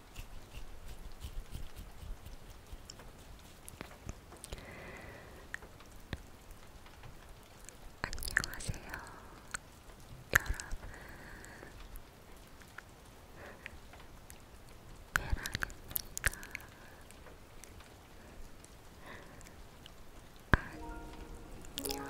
안녕하세요, 여러분. 베랑입니다. 안녕.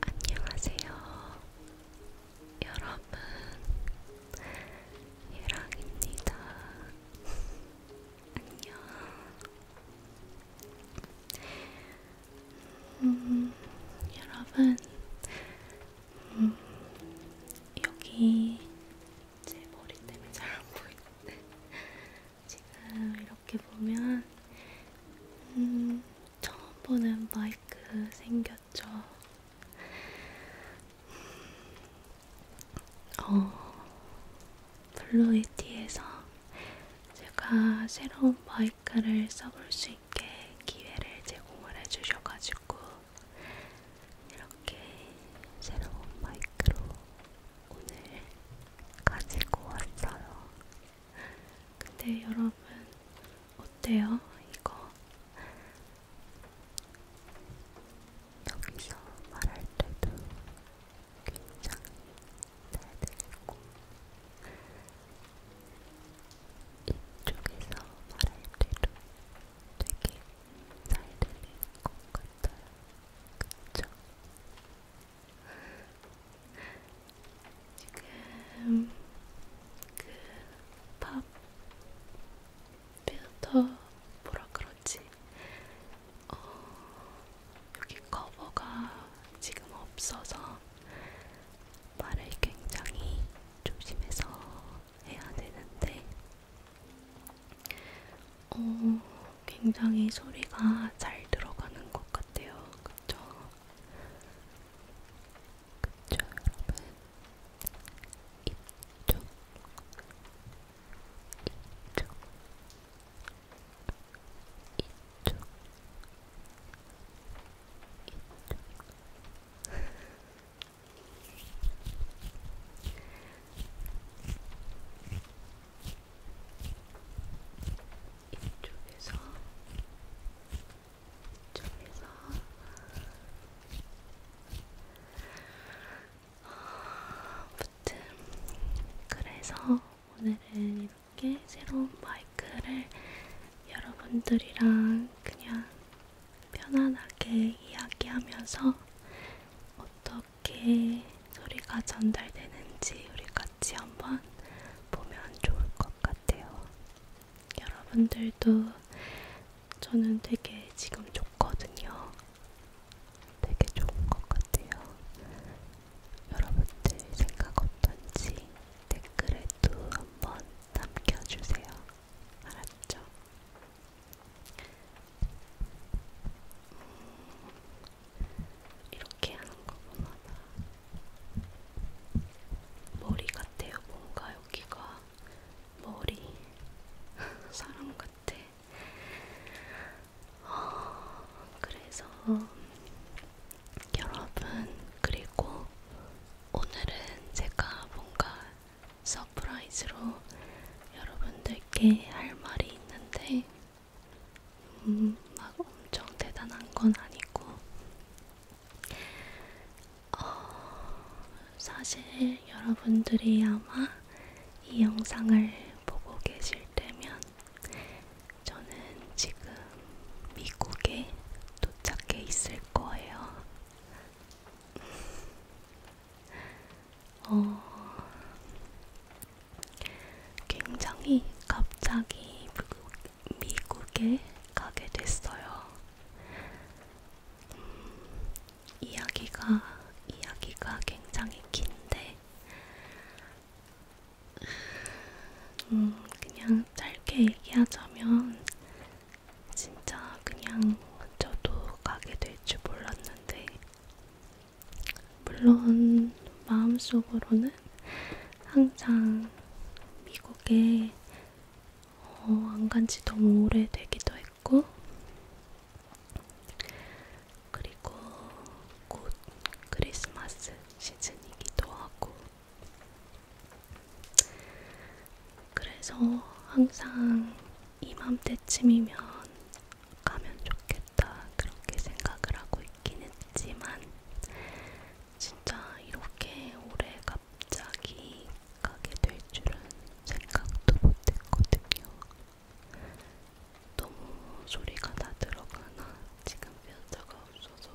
안녕하세요. 여러분, 예랑입니다. 안녕. 음, 여러분, 음, 여기 제 머리 때문에 잘 안 보이는데 지금 이렇게 보면 음, 처음 보는 마이크 생겼죠. 어, 블루에티에서 제가 새로운 마이크를 써볼 수 있게 기회를 제공을 해주셔가지고 이렇게 새로운 마이크로 오늘 가지고 왔어요. 근데 여러분 어때요? 이거 여기서 말할 때도 굉장히 잘 들리고 이쪽에서 말할 때도 되게 잘 들리는 것 같아요. 그쵸? 지금 그팝 필터 뭐라 그러지? 어, 여기 커버가 지금 없어서 말을 굉장히 조심해서 해야 되는데 어, 굉장히 소리가 잘 들어가는 것 같아요. 그쵸? 그쵸, 여러분? 이쪽, 이쪽, 이쪽, 이쪽. 이쪽에서 이쪽에서 아무튼 그래서 오늘은 이렇게 새로운 마이크를 여러분들이랑 그냥 편안하게 이야기하면서 어떻게 어떻게 소리가 전달되는지 우리 같이 한번 보면 좋을 것 같아요. 여러분들도 저는 되게 지금 좋거든요. 되게 좋은 것 같아요. 여러분들 생각 어떤지 댓글에도 한번 남겨주세요. 알았죠? 음, 이렇게 하는 거보다 머리 같아요. 뭔가 여기가 머리 사람 같아. 어, 그래서 여러분 그리고 오늘은 제가 뭔가 서프라이즈로 여러분들께 할 말이 있는데 음, 막 엄청 대단한 건 아니고, 어, 사실 여러분들이 아마 이 영상을 보고 계실 때면 저는 지금 미국에 도착해 있을 거예요. 어, 굉장히 갑자기 미국에 가게 됐어요. 음, 이야기가 이야기가 굉장히 긴데 음, 그냥 짧게 얘기하자면 진짜 그냥 저도 가게 될 줄 몰랐는데 물론 마음속으로는 항상 미국에 어, 안간지 너무 오래되기도 했고 그리고 곧 크리스마스 시즌이기도 하고 그래서 항상 이맘때쯤이면 가면 좋겠다 그렇게 생각을 하고 있긴 했지만 진짜 이렇게 오래 갑자기 가게 될 줄은 생각도 못했거든요. 너무 소리가 다 들어가나 지금 변자가 없어서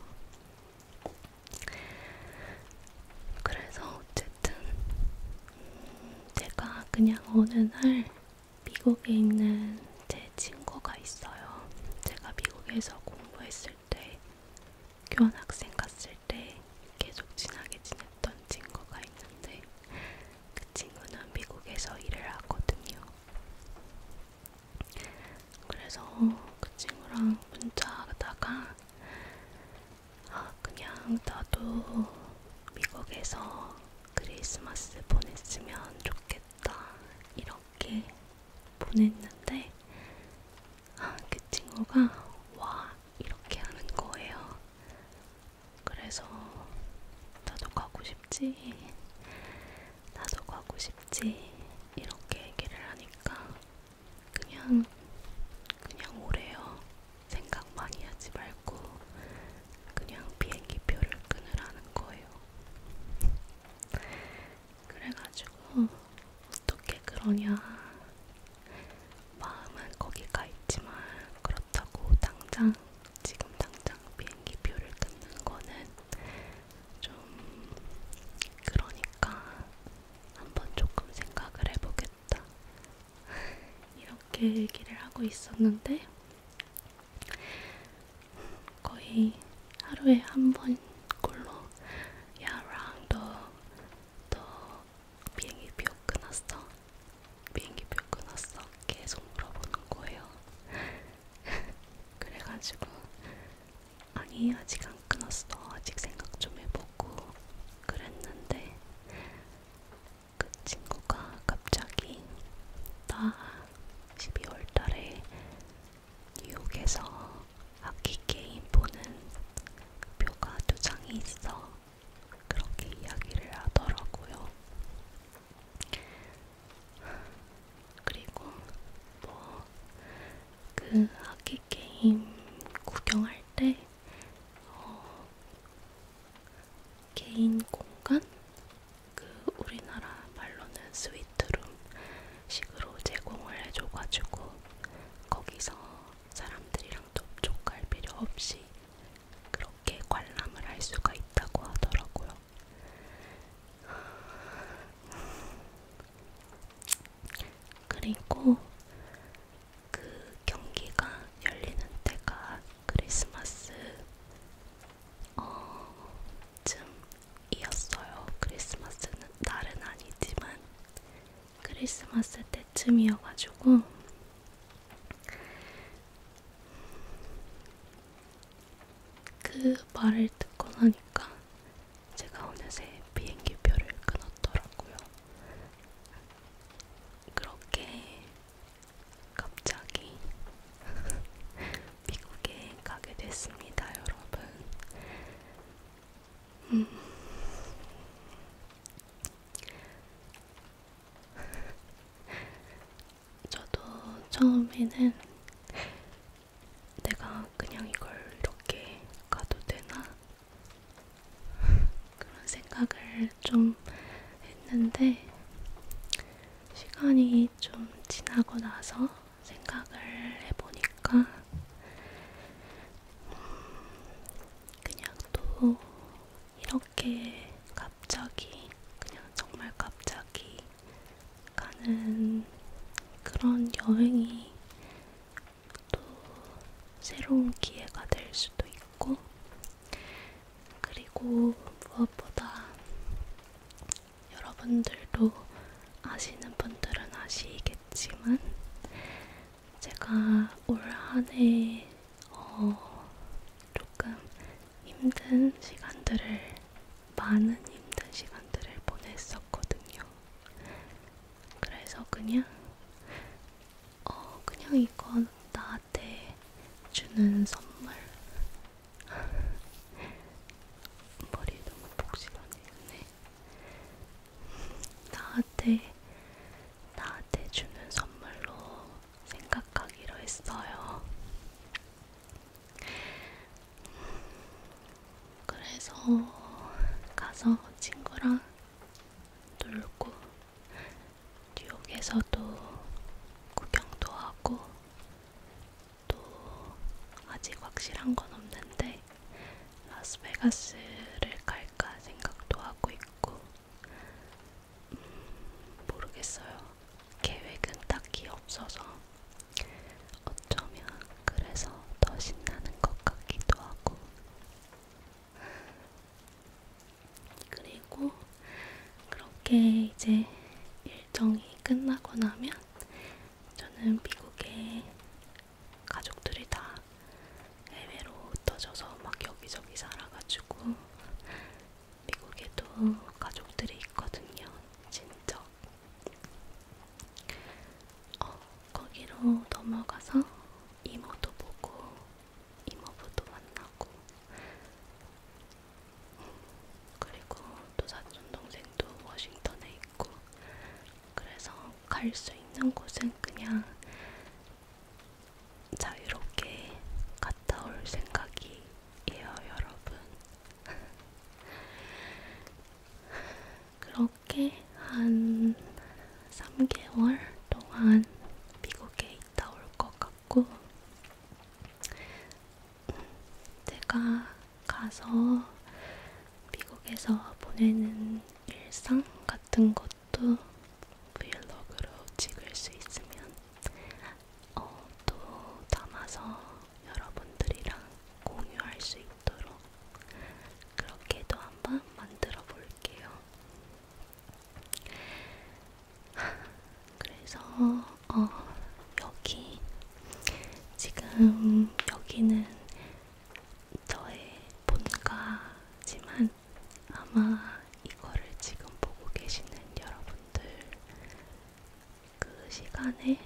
그래서 어쨌든 음 제가 그냥 어느 날 미국에 있는 제 친구가 있어요. 제가 미국에서 공부했을 때, 교환학생 갔을 때 계속 친하게 지냈던 친구가 있는데, 그 친구는 미국에서 일을 하거든요. 그래서 그 친구랑 문자하다가, 아, 그냥 나도 미국에서 크리스마스 보냈으면 좋겠다. 귀엽다 이렇게 보냈는데 아, 그 친구가 와 이렇게 하는 거예요. 그래서 나도 가고 싶지, 나도 가고 싶지 이렇게 얘기를 하니까 그냥 그냥 오래요. 생각 많이 하지 말고 그냥 비행기표를 끊으라는 거예요. 그래가지고 어떻게 그러냐 마음은 거기 가 있지만 그렇다고 당장 지금 당장 비행기표를 끊는 거는 좀 그러니까 한번 조금 생각을 해보겠다 이렇게 얘기를 하고 있었는데 거의 하루에 한 번 꼴로 야랑 너너 비행기 표 끊었어? 비행기 표 끊었어? 계속 물어보는 거예요. 그래가지고 아니 아직 안 끊었어. 아직 생각 좀 해보고 그랬는데 그 친구가 갑자기 나 12월 달에 뉴욕에서 악기 게임 보는 표가 두 장이 있어. 그렇게 이야기를 하더라고요. 그리고 뭐그 악기 게임 구경할 때 어, 개인 공간? 그 우리나라 말로는 스위트룸 식으로 제공을 해줘가지고 거기서 사람들이랑 접촉할 필요 없이 그렇게 관람을 할 수가 있다고 하더라고요. 그리고 그 경기가 열리는 때가 크리스마스 어, 쯤이었어요. 크리스마스는 날은 아니지만 크리스마스 때쯤이어가지고 그 말을 듣고 나니까 제가 어느새 비행기표를 끊었더라고요. 그렇게 갑자기 미국에 가게 됐습니다, 여러분. 음. 저도 처음에는 내가 그냥 이걸 이렇게 가도 되나? 그런 생각을 좀 했는데, 시간이 시간이 좀 지나고 나서 생각을 해보니까 음, 그냥 또 이렇게 갑자기 그냥 정말 갑자기 가는 그런 여행이 또 새로운 기회가 될 수도 있고 그리고 무엇보다 여러분들도 아시는 분들은 아시겠지만 제가 올 한해 어, 조금 힘든 시간들을 많은 힘든 시간들을 보냈었거든요. 그래서 그냥 어 그냥 이건 나 나한테 주는 선물. 머리 너무 복실하네. 나한테 나한테 주는 선물로 생각하기로 했어요. 그래서 가서 친구랑 놀고 뉴욕에서도 구경도 하고 또 아직 확실한 건 없는데 라스베가스를 갈까 생각도 하고 있고 음, 모르겠어요. 계획은 딱히 없어서 어쩌면 그래서 더 신나는 것 같기도 하고 그리고 그렇게 이제 일정이 끝나고 나면 저는 미국에 가족들이 다 해외로 흩어져서 막 여기저기 살아가지고 미국에도 가족들이 있거든요. 진짜. 어, 거기로 넘어가서 이모도 보고 이모부도 만나고 그리고 또 사촌동생도 워싱턴에 있고 그래서 갈 수 있는 곳은 그냥 자유롭게 갔다 올 생각이에요, 여러분. 그렇게 한 3개월 동안 미국에 있다 올것 같고, 내가 가서 미국에서 보내는 일상 같은 것도 브이로그로 찍을 수 있으면 어, 또 담아서 여러분들이랑 공유할 수 있도록 그렇게도 한번 만들어 볼게요. 그래서 어, 여기 지금 여기는 저의 본가지만 아마 이거를 지금 보고 계시는 여러분들 그 시간에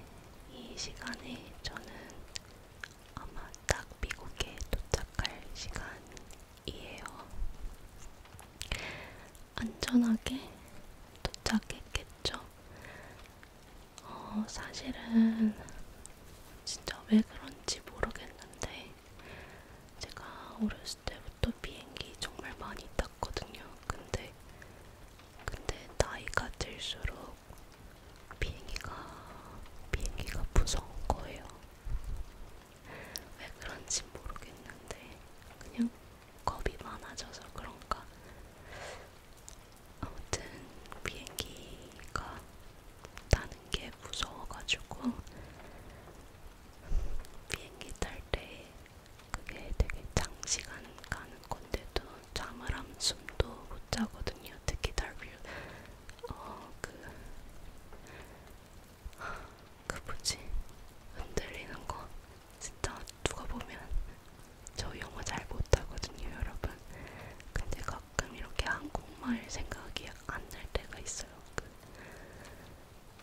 이 시간에 저는 아마 딱 미국에 도착할 시간이에요. 안전하게 도착했겠죠. 어, 사실은 진짜 왜 그런지 모르겠는데 제가 어렸을 때부터 비행기 정말 많이 탔거든요. 근데 근데 나이가 들수록 비행기가 비행기가 무서운 거예요. 왜 그런지 모르겠는데 그냥 겁이 많아져서 그런가. 아무튼 비행기가 타는 게 무서워가지고 비행기 탈 때 그게 되게 장시간 가는 건데도 잠을 안 숨도 못 자거든요. 특히 달뷰 어그 그 뭐지 흔들리는 거 진짜 누가 보면 저 영어 잘 못하거든요 여러분 근데 가끔 이렇게 한국말 생각이 안 날 때가 있어요 그,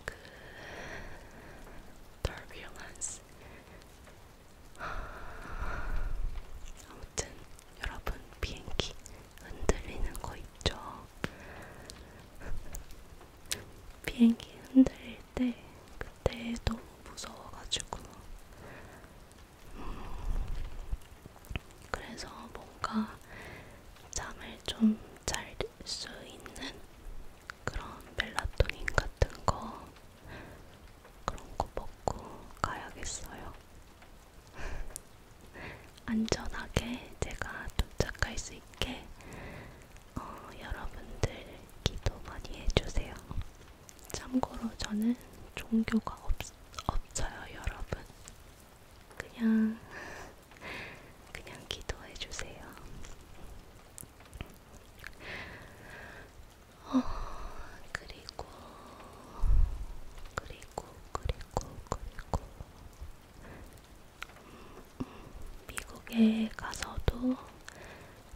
그 turbulence 아무튼 여러분 비행기 흔들리는 거 있죠 비행기 흔들릴 때 그때 너무 무서워가지고 음, 그래서 뭔가 잠을 좀 잘 수 있는 그런 멜라토닌 같은 거 그런 거 먹고 가야겠어요. 안전하게 제가 도착할 수 있게 어, 여러분들 기도 많이 해주세요. 참고로 저는 종교가 없, 없어요, 여러분. 그냥, 그냥 기도해주세요. 어, 그리고, 그리고, 그리고, 그리고, 미국에 가서도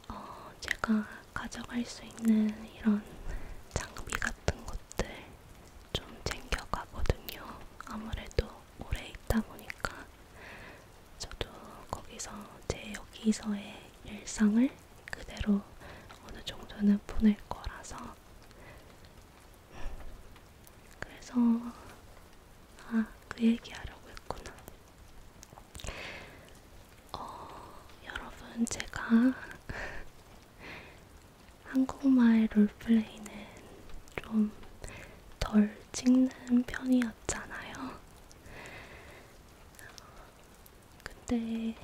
어, 제가 가져갈 수 있는 이런 장비 같은 것들 좀 챙겨가거든요. 아무래도 오래 있다 보니까 저도 거기서 제 여기서의 일상을 그대로 어느 정도는 보낼 거라서 그래서 아, 그 얘기하려고 했구나. 어, 여러분 제가 한국말 롤플레이는 좀 덜 찍는 편이었잖아요. 근데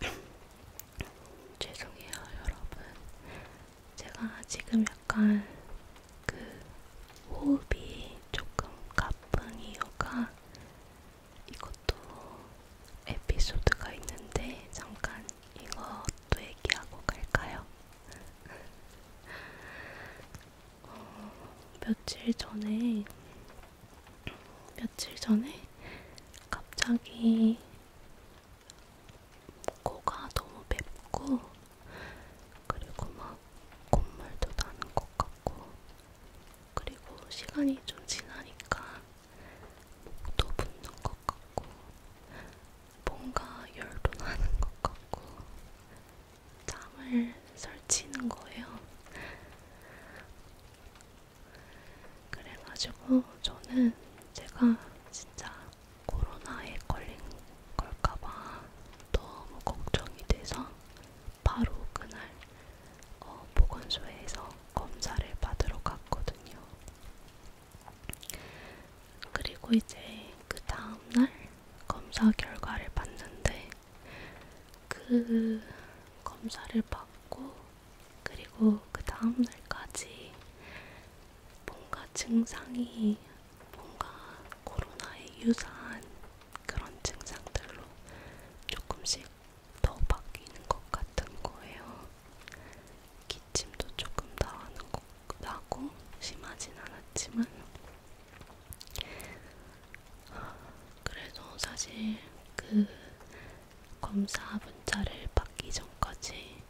죄송해요, 여러분. 제가 지금 약간 그 호흡이 조금 가쁜 이유가 이것도 에피소드가 있는데 잠깐 이것도 얘기하고 갈까요? 어, 며칠 전에 며칠 전에 갑자기 코가 너무 맵고 그리고 막 콧물도 나는 것 같고 그리고 시간이 좀 지나니까 목도 붓는 것 같고 뭔가 열도 나는 것 같고 잠을 설치는 거예요. 그래가지고 저는 제가 진짜 코로나에 걸린 걸까봐 너무 걱정이 돼서 바로 그날 어, 보건소에서 검사를 받으러 갔거든요. 그리고 이제 그 다음날 검사 결과를 봤는데 그 검사를 받고 그리고 그 다음날까지 뭔가 증상이 뭔가 코로나에 유사한 그런 증상들로 조금씩 더 바뀌는 것 같은 거예요. 기침도 조금 나는 것 나고 심하진 않았지만 그래도 사실 그 검사 문자를 받기 전까지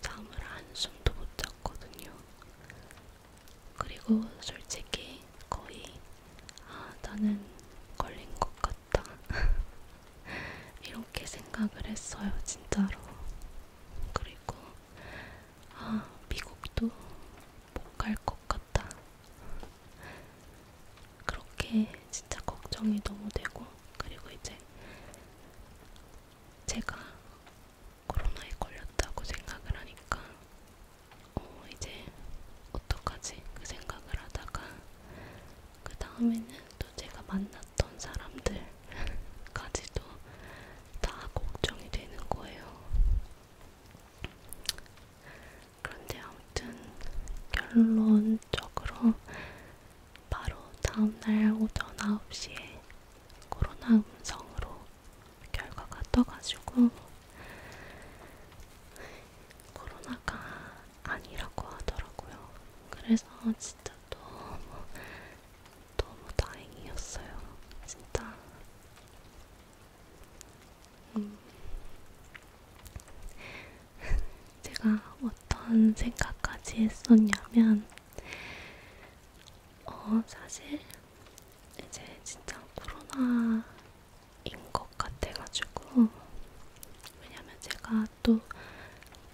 잠을 한숨도 못 잤거든요. 그리고 솔직히 거의 아 나는 걸린 것 같다 이렇게 생각을 했어요 진짜로. 그리고 아 미국도 못 갈 것 같다. 그렇게 진짜 걱정이 너무 되고 그리고 이제 제가 코로나에 걸렸다고 생각을 하니까 어 이제 어떡하지 그 생각을 하다가 그 다음에는 또 제가 만났던 사람들까지도 다 걱정이 되는 거예요. 그런데 아무튼 결론적으로 바로 다음날 오전 9시에 코로나 음성으로 결과가 떠가지고 코로나가 아니라고 하더라고요. 그래서 진짜 너무 너무 다행이었어요. 진짜. 음. 제가 어떤 생각까지 했었냐면 어, 사실 이제 진짜 코로나인 것 같아가지고 왜냐면 제가 또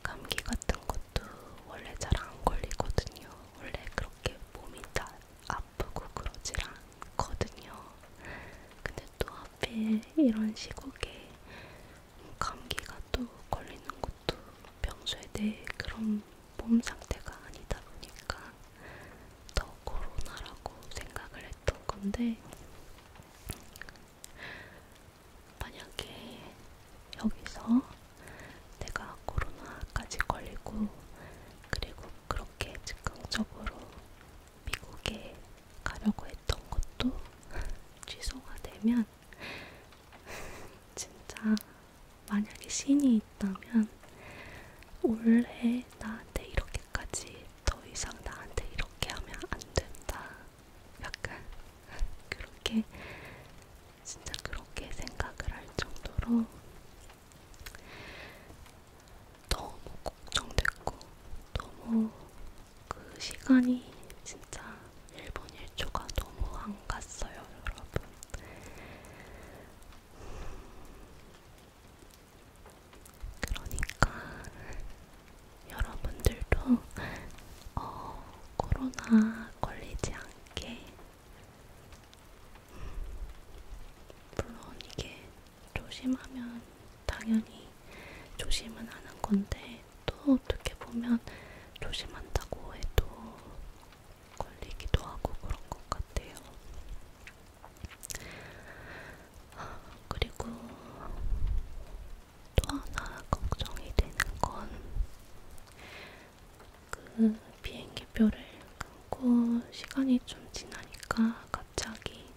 감기 같은 것도 원래 잘 안 걸리거든요. 원래 그렇게 몸이 다 아프고 그러질 않거든요. 근데 또 하필 이런 시국에 감기가 또 걸리는 것도 평소에 내 네, 그런 몸 상태가 아니다 보니까 더 코로나라고 생각을 했던 건데 만약에 여기서 내가 코로나까지 걸리고 그리고 그렇게 즉흥적으로 미국에 가려고 했던 것도 취소가 되면 진짜 만약에 신이 있다면 원래 나한테 이렇게까지 더 이상 나한테 이렇게 하면 안 된다. 약간 그렇게 진짜 그렇게 생각을 할 정도로 너무 걱정됐고 너무 그 시간이 진짜 1분 1초가 너무 안 갔어요, 여러분. 그러니까 여러분들도 어, 코로나 걸리지 않게 물론 이게 조심하면 당연히 조심은 하는 건데 또 어떻게 보면 조심한다고 해도 걸리기도 하고 그런 것 같아요. 아, 그리고 또 하나 걱정이 되는 건 그 비행기표를 끊고 시간이 좀 지나니까 갑자기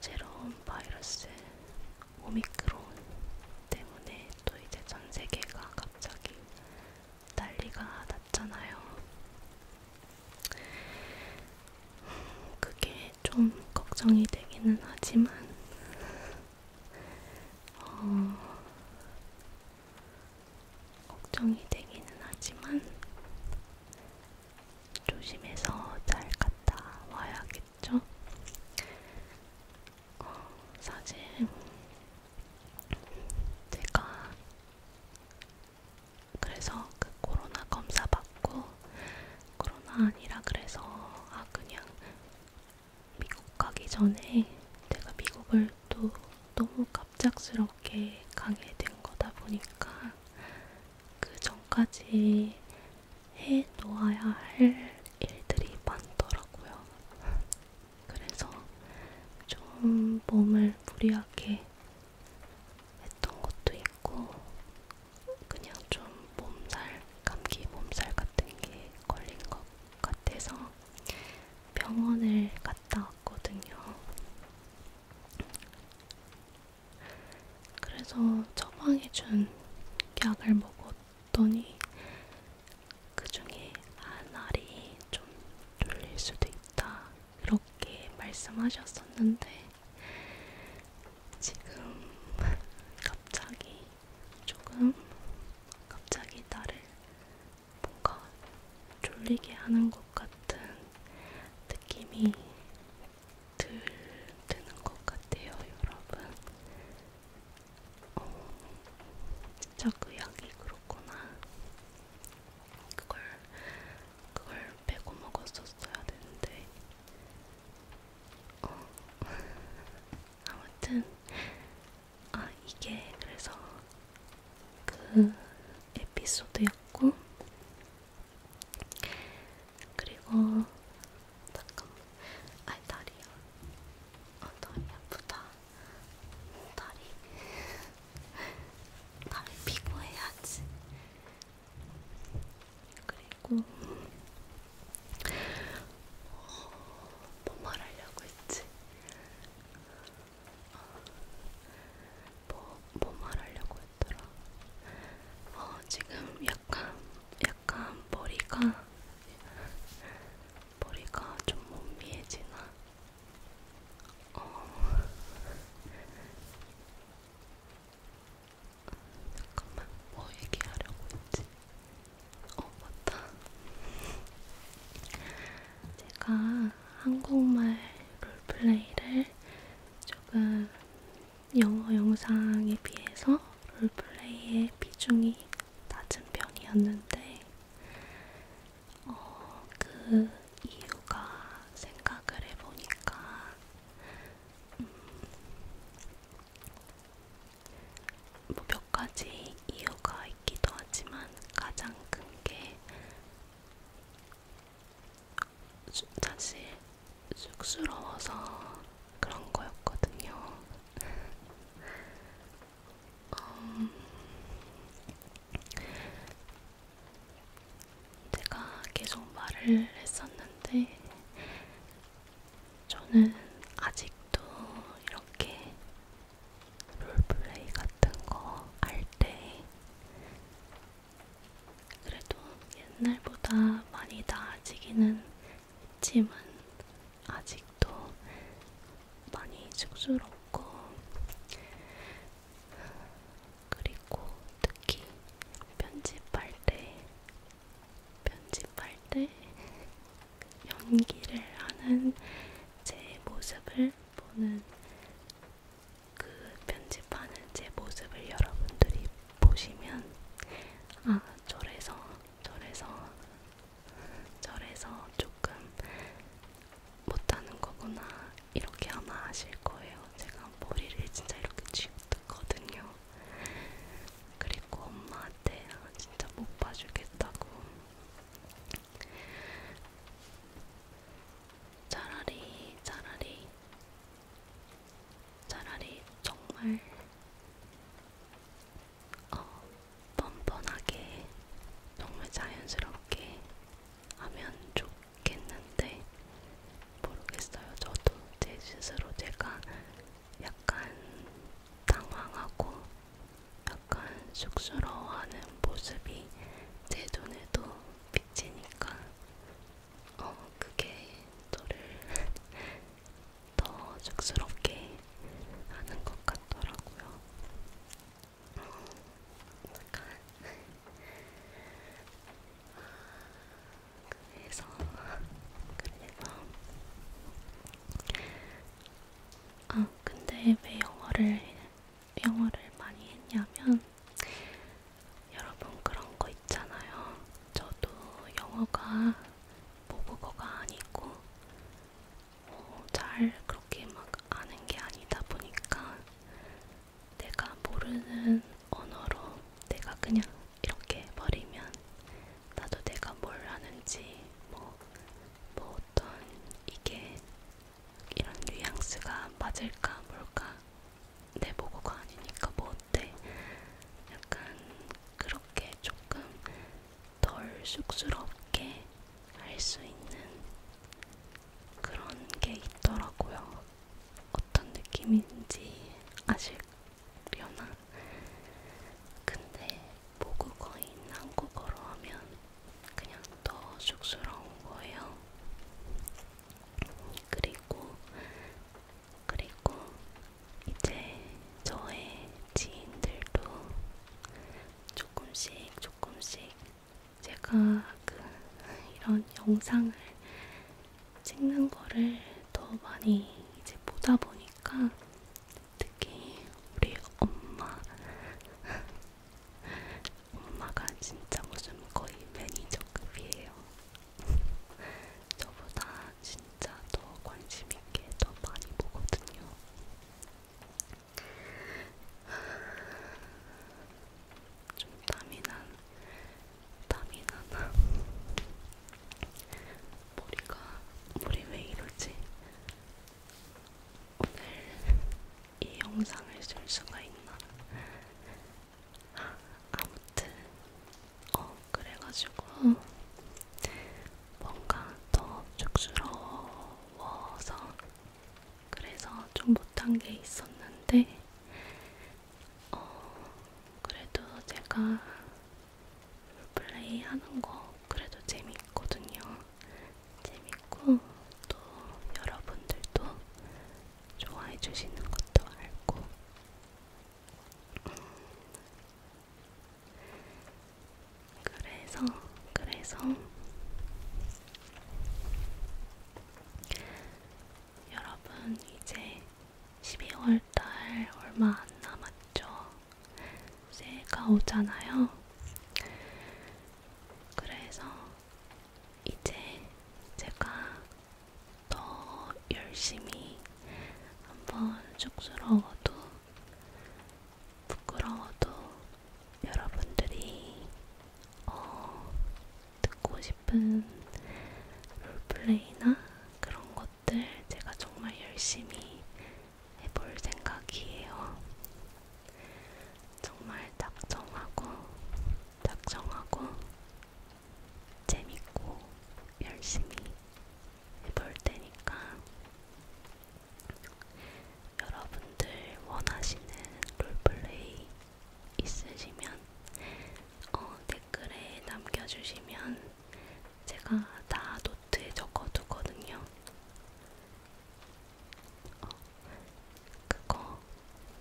새로운 바이러스 오미크론 때문에 또 이제 전 세계가 갑자기 난리가 났잖아요. 그게 좀 걱정이 되기는 하지만, 어, 걱정이 되기는 하지만, 조심해서 잘 갔다 와야겠죠? 어, 사실 제가 그래서 그 코로나 검사 받고 코로나 아니라 그래서 아 그냥 미국 가기 전에 제가 미국을 또 너무 갑작스럽게 가게 된 거다 보니까 그 전까지 해 놓아야 할 일들이 많더라고요. 그래서 좀 몸을 무리하게 했던 것도 있고, 그냥 좀 몸살, 감기 몸살 같은 게 걸린 것 같아서 병원을 갔다 왔거든요. 그래서 처방해준 약을 먹었더니 그 중에 한 알이 좀 눌릴 수도 있다. 이렇게 말씀하셨었는데, 지금 갑자기 조금 갑자기 나를 뭔가 졸리게 하는 것 같은 느낌이 들, 드는 것 같아요, 여러분. 어, 진짜 그 약이 그렇구나. 그걸 그걸 빼고 먹었었어야 되는데. 어, 아무튼 아 이게 그래서 그 에피소드였고 그리고 잠깐만 아 다리야 아 다리 아프다 다리 다리 피고해야지. 그리고 뭐 말하려고 했지? 뭐, 뭐 말하려고 했더라? 어, 지금 약간, 약간 머리가 머리가 좀 멍미해지나? 어... 잠깐만, 뭐 얘기하려고 했지? 어, 맞다. 제가 한국말 롤플레이를 조금 영어 영상에 비해서 롤플레이의 비중이 낮은 편이었는데 어, 그 이유가 생각을 해보니까 음, 뭐몇 가지 이유가 있기도 하지만 가장 큰 게 사실 쑥스러워서 그런 거였거든요. 음, 제가 계속 말을 했었는데, 저는 아직도 이렇게 롤플레이 같은 거 할 때 그래도 옛날보다 많이 나아지기는 침은 아직도 많이 쑥스럽고, 그리고 특히 편집할 때, 편집할 때 연기를 하는 제 모습을 보는 그 편집하는 제 모습을 여러분들이 보시면 아 저래서 저래서 절에서 조금 못하는 거구나 이렇게 아마 아실 거예요. 제가 머리를 진짜 이렇게 쥐었거든요. 그리고 엄마한테 진짜 못 봐주겠다고. 차라리 차라리 차라리 정말 어, 뻔뻔하게 정말 자연스럽게 하면 좋겠는데 모르겠어요. 저도 제 스스로 제가 약간 당황하고 약간 쑥스러워하는 모습이 제 눈에도 비치니까 어 그게 저를 더 쑥스럽게 하는 것 같더라고요. 어, 약간 그래서 그래서 아 근데 왜 영어를 영어를 많이 했냐면 여러분 그런 거 있잖아요. 저도 영어가 모국어가 아니고 어, 잘 그렇게 막 아는 게 아니다 보니까 내가 모르는 언어로 내가 그냥 이렇게 버리면 나도 내가 뭘 하는지 뭐, 뭐 어떤 이게 이런 뉘앙스가 맞을까 뭘까 내 모국어가 아니니까 뭐 어때 약간 그렇게 조금 덜 쑥스럽게 할 수 있는 그런 게 있더라고요. 어떤 느낌인지 아실려나? 근데 모국어인 한국어로 하면 그냥 더 쑥스러운 거예요. 그리고, 그리고 이제 저의 지인들도 조금씩 조금씩 제가 그 이런 영상을 찍는 거를 더 많이 이제 보다 보니까 특히 우리 엄마 엄마가 진짜 무슨 거의 매니저급이에요. 저보다 진짜 더 관심 있게 더 많이 보거든요. 좀 땀이 난, 땀이 나나? 머리가, 머리 왜 이러지? 오늘 이 영상을 쓸 수가 있나? 아무튼, 어, 그래가지고 뭔가 더 쑥스러워서 그래서 좀 못한 게 있었는데 어, 그래도 제가 플레이 하는 거 그래도 재밌거든요. 재밌고 또 여러분들도 좋아해 주시는 것도 알고 음, 그래서 그래서 여러분 이제 12월 달 얼마 안 남았죠. 새해가 오잖아요. 그래서 이제 제가 더 열심히 한번 쑥스러워도 부끄러워도 여러분들이 어, 듣고 싶은 롤플레이나 그런 것들 제가 정말 열심히 해볼 생각이에요. 정말 작정하고 작정하고 재밌고 열심히 해볼 테니까 여러분들 원하시는 롤플레이 있으시면 어, 댓글에 남겨주시면 제가 다 노트에 적어두거든요. 어, 그거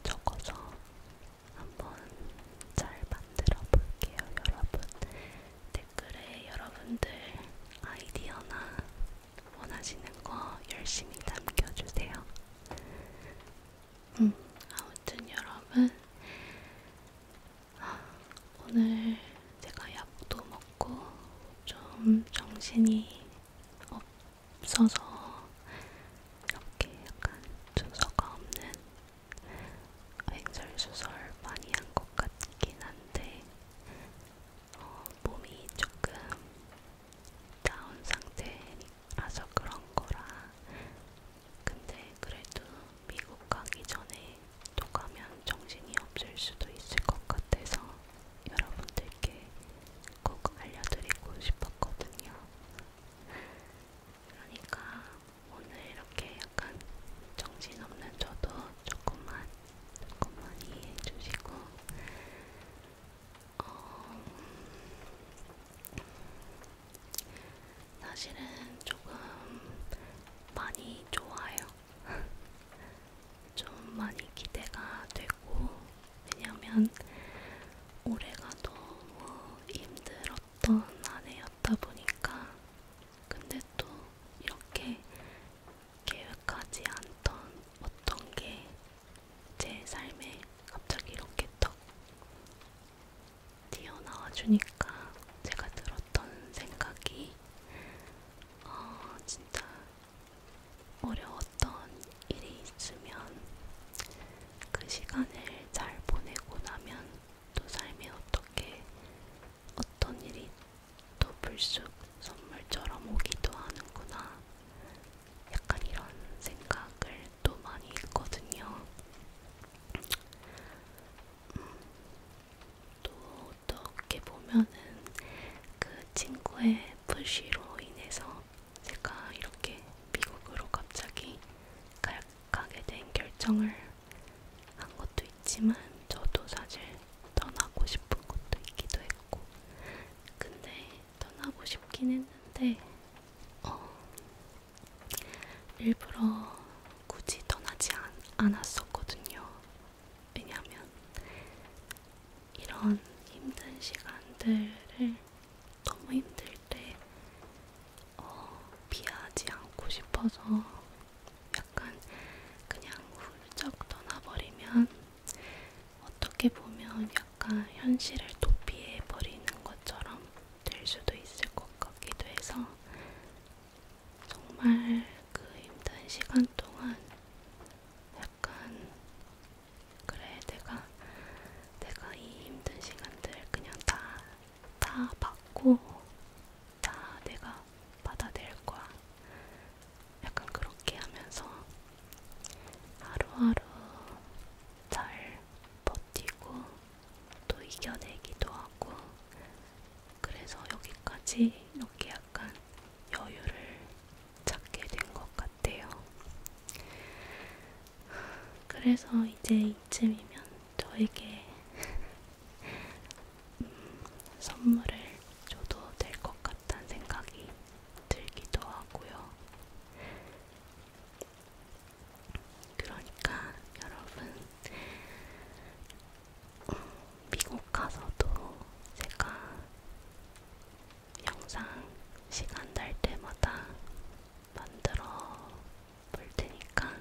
적어서 한번 잘 만들어 볼게요, 여러분. 댓 댓글에 여러분들 아이디어나 원하시는 거 열심히 남겨주세요. 음, 아무튼 여러분, 오늘 제가 약도 먹고 좀 정신이 없어서 이렇게 약간 순서가 없는 횡설수설 많이 한 것 같긴 한데 어, 몸이 조금 다운 상태라서 그런 거라 근데 그래도 미국 가기 전에 또 가면 정신이 없을 수도 있을 것 같아서 여러분들께 꼭 알려드리고 싶었거든요. 그러니까 오늘 이렇게 약간 정신없는 저도 조금만 조금만 이해해 주시고 어, 사실은 조금 많이 좋아요. 좀 많이 기대가 되고 왜냐면 올해가 너무 힘들었던 한 해였다 보니까 근데 또 이렇게 계획하지 않던 어떤 게 제 삶에 갑자기 이렇게 떡 튀어나와 주니까 제가 들었던 생각이 어, 진짜 어려웠던 일이 있으면 그 시간을 잘 보내고 나면 또 삶에 어떻게 어떤 일이 또 불쑥 선물처럼 오기도 하는구나. 약간 이런 생각을 또 많이 했거든요. 음, 또 어떻게 보면은 그 친구의 푸시로 인해서 제가 이렇게 미국으로 갑자기 가게 된 결정을 한 것도 있지만 저도 사실 떠나고 싶은 것도 있기도 했고 근데 떠나고 싶긴 했는데 어, 일부러 굳이 떠나지 않, 않았었거든요. 왜냐하면 이런 힘든 시간들을 너무 힘들 때 어, 피하지 않고 싶어서 약간 그냥 훌쩍 떠나버리면 어떻게 보면 약간 현실을 도피해 버리는 것처럼 될 수도 있을 것 같기도 해서 정말 그 힘든 시간 동안 약간 그래 내가 내가 이 힘든 시간들 그냥 다다 받고 다 내가 받아낼 거야. 약간 그렇게 하면서 하루하루 잘 버티고 또 이겨내기도 하고 그래서 여기까지 이렇게 약간 여유를 찾게 된 것 같아요. 그래서 이제 이쯤이면 저에게 음, 선물을 줘도 될 것 같다는 생각이 들기도 하고요. 그러니까 여러분 미국 가서도 제가 영상 시간 날 때마다 만들어 볼 테니까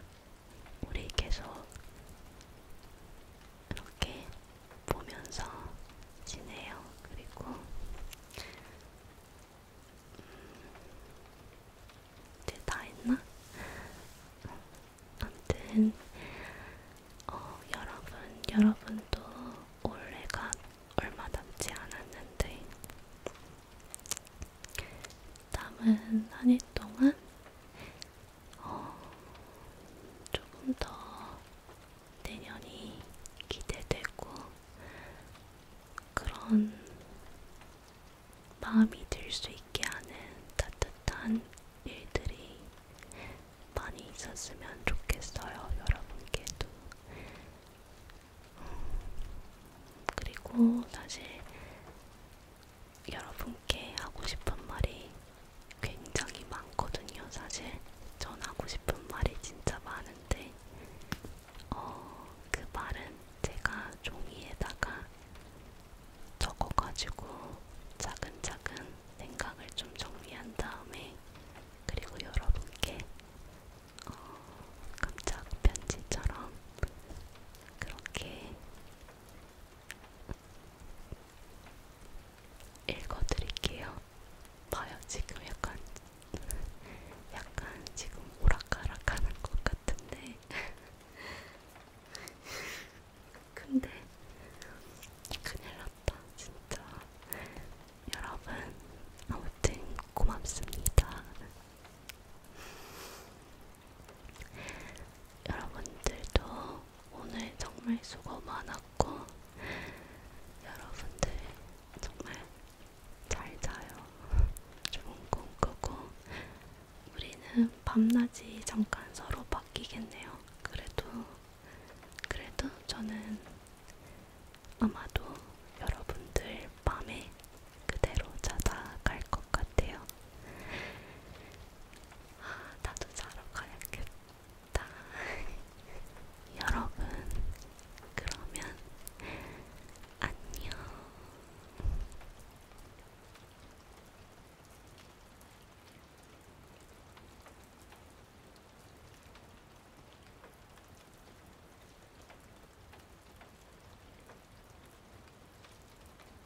우리 계속 이렇게 보면서 지내요. 그리고 음, 이제 다 했나? 아무튼 어, 여러분, 여러분도 올해가 얼마 남지 않았는데 남은 한일 동안 조금 더 내년이 기대되고 그런 마음이 들 수 있게 하는 따뜻한 일들이 많이 있었으면 좋겠어요, 여러분께도. 음, 그리고 사실 여러분께 하고 싶은 말이 굉장히 많거든요. 사실 전 하고 싶은 말이 진짜 많은데 어, 그 말은 제가 종이에다가 적어가지고 차근차근 생각을 좀 정리한 다음에 그리고 여러분께 어, 깜짝 편지처럼 그렇게 읽어드릴게요. 봐요, 지금 약간, 약간 지금 오락가락하는 것 같은데. 근데 큰일났다, 진짜. 여러분, 아무튼 고맙습니다. 여러분들도 오늘 정말 수고 많았고, 여러분들 정말 잘 자요. 좋은 꿈 꾸고, 우리는 밤낮이 잠깐 서로 바뀌겠네요. 그래도, 그래도 저는 아마도 여러분들 밤에 그대로 자다 갈 것 같아요. 나도 자러 가야겠다. 여러분, 그러면 안녕.